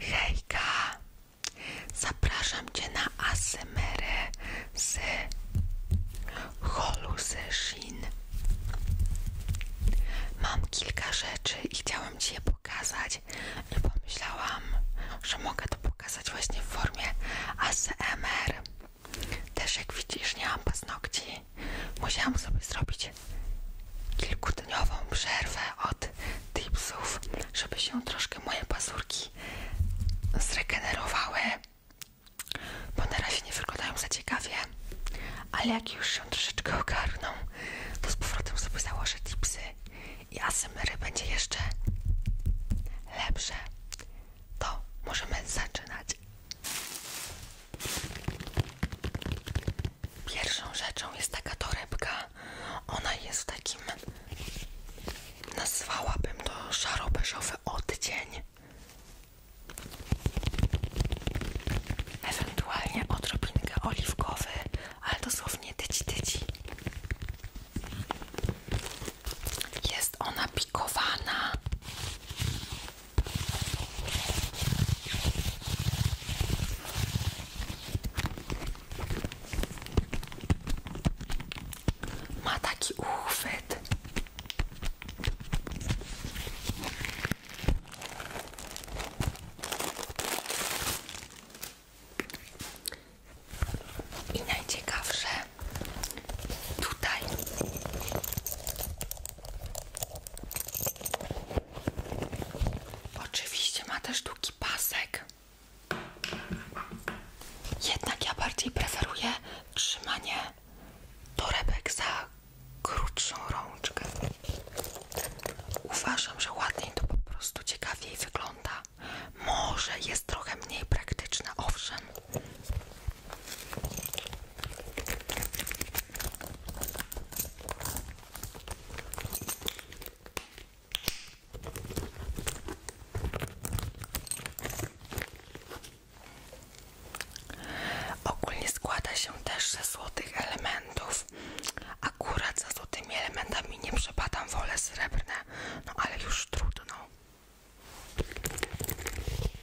Hejka, zapraszam Cię na asymerę z holu Shin. Mam kilka rzeczy i chciałam Ci je pokazać i pomyślałam, że mogę to pokazać właśnie w formie ASMR. Też jak widzisz nie mam paznokci, musiałam sobie zrobić kilkudniową przerwę od tipsów, żeby się troszkę moje pazurki zregenerowały, bo na razie nie wyglądają za ciekawie, ale jak już się troszeczkę ogarną, to z powrotem sobie założę tipsy i ASMR y będzie jeszcze lepsze. To możemy zaczynać. Pierwszą rzeczą jest taka torebka. Ona jest takim, nazwałabym to szaro-beżowy odcień. Ewentualnie odrobinkę oliwkowy, ale dosłownie tydzień, tyci. Jest ona pikowana ma taki uchwyt. I najciekawsze tutaj Oczywiście ma też długi pasek. Jednak ja bardziej preferuję trzymanie torebek za krótszą rączkę. Uważam, że ładniej to po prostu ciekawiej wygląda. Może jest trochę mniej praktyczne, owszem. Ogólnie składa się też ze złotych elementów. Akurat za złotymi elementami nie przepadam, wole srebrne, no ale już trudno.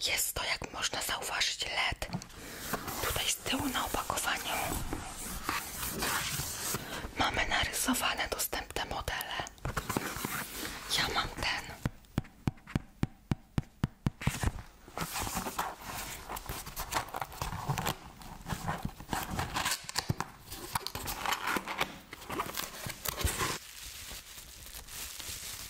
Jest to, jak można zauważyć, LED. Tutaj z tyłu na opakowaniu mamy narysowane dostępne modele. Ja mam ten.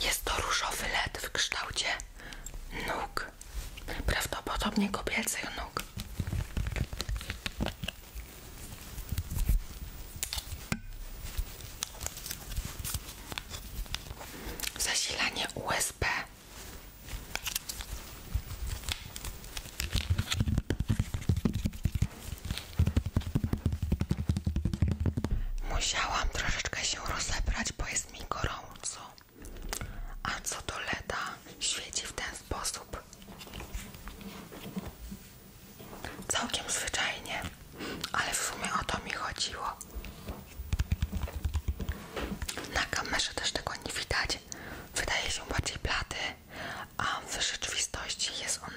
Jest to różowy led w kształcie nóg, prawdopodobnie kobiecych nóg. Zasilanie USB. Musiałam troszeczkę się rozebrać, bo jest mi gorąco. A co to leda świeci w ten sposób. Całkiem zwyczajnie, ale w sumie o to mi chodziło. Na kamerze też tego nie widać. Wydaje się bardziej blady, a w rzeczywistości jest on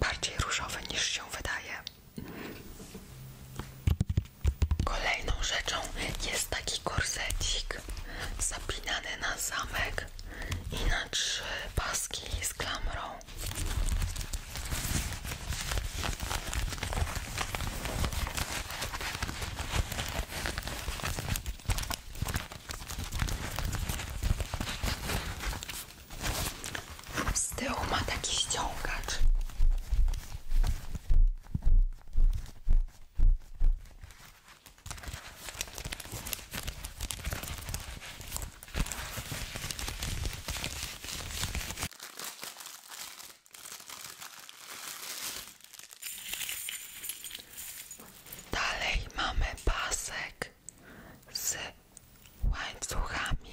bardziej różowy niż się wydaje. Kolejną rzeczą jest taki korsecik zapinany na zamek i na trzy paski z klamrą. Z tyłu ma taki ściągacz. Dalej mamy pasek z łańcuchami.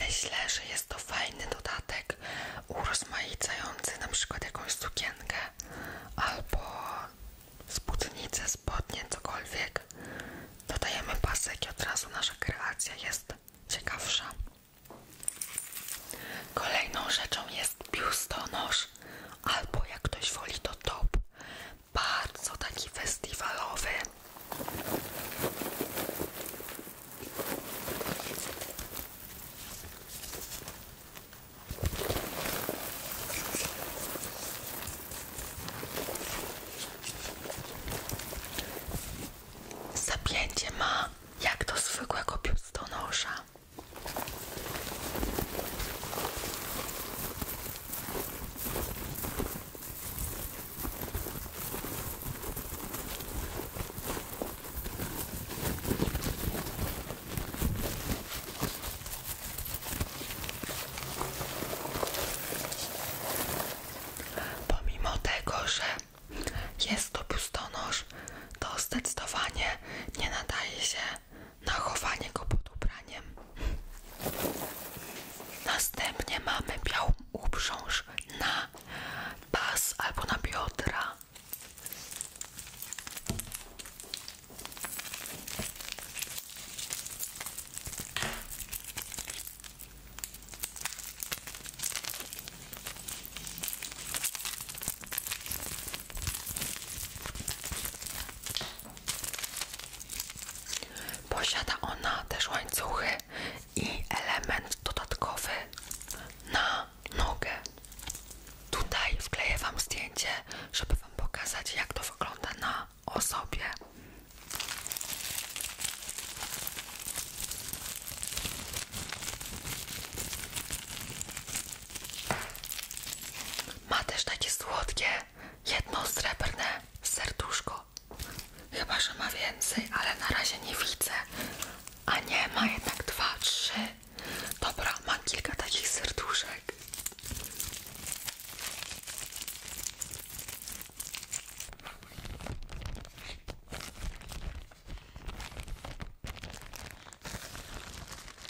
Myślę, że jest to fajny dodatek urozmaicający na przykład jakąś sukienkę albo spódnicę, spodnie, cokolwiek. Dodajemy pasek i od razu nasza kreacja jest ciekawsza. Kolejną rzeczą jest biustonosz albo jak ktoś woli to top, bardzo taki festiwalowy. Zapięcie ma jak do zwykłego biustonosza. Pomimo tego, że jest to pustonosz, to zdecydowanie nie nadaje się na chowanie go pod ubraniem. Następnie mamy białą uprząż na pas albo na biodra. Posiada ona też łańcuchy i element dodatkowy na nogę. Tutaj wkleję Wam zdjęcie, żeby Wam pokazać, jak to wygląda na osobie. Ma też takie słodkie, jedno srebrne serduszko. Chyba, że ma więcej, ale na razie nie widzę. A nie, ma jednak dwa, trzy. Dobra, ma kilka takich serduszek.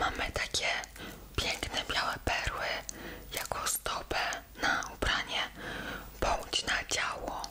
Mamy takie piękne białe perły jako stopę na ubranie bądź na ciało.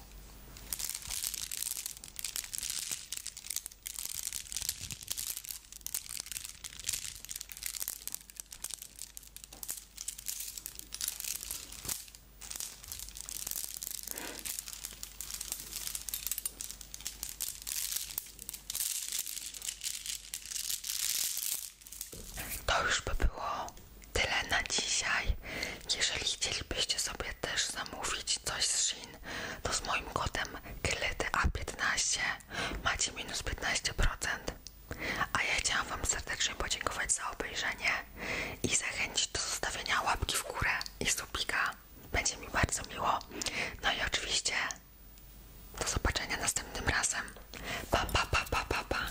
To już by było tyle na dzisiaj. Jeżeli chcielibyście sobie też zamówić coś z Shein, to z moim kodem a 15 macie minus 15%. A ja chciałam Wam serdecznie podziękować za obejrzenie i zachęcić do zostawienia łapki w górę i subika. Będzie mi bardzo miło. No i oczywiście do zobaczenia następnym razem. Pa, pa, pa, pa, pa, pa.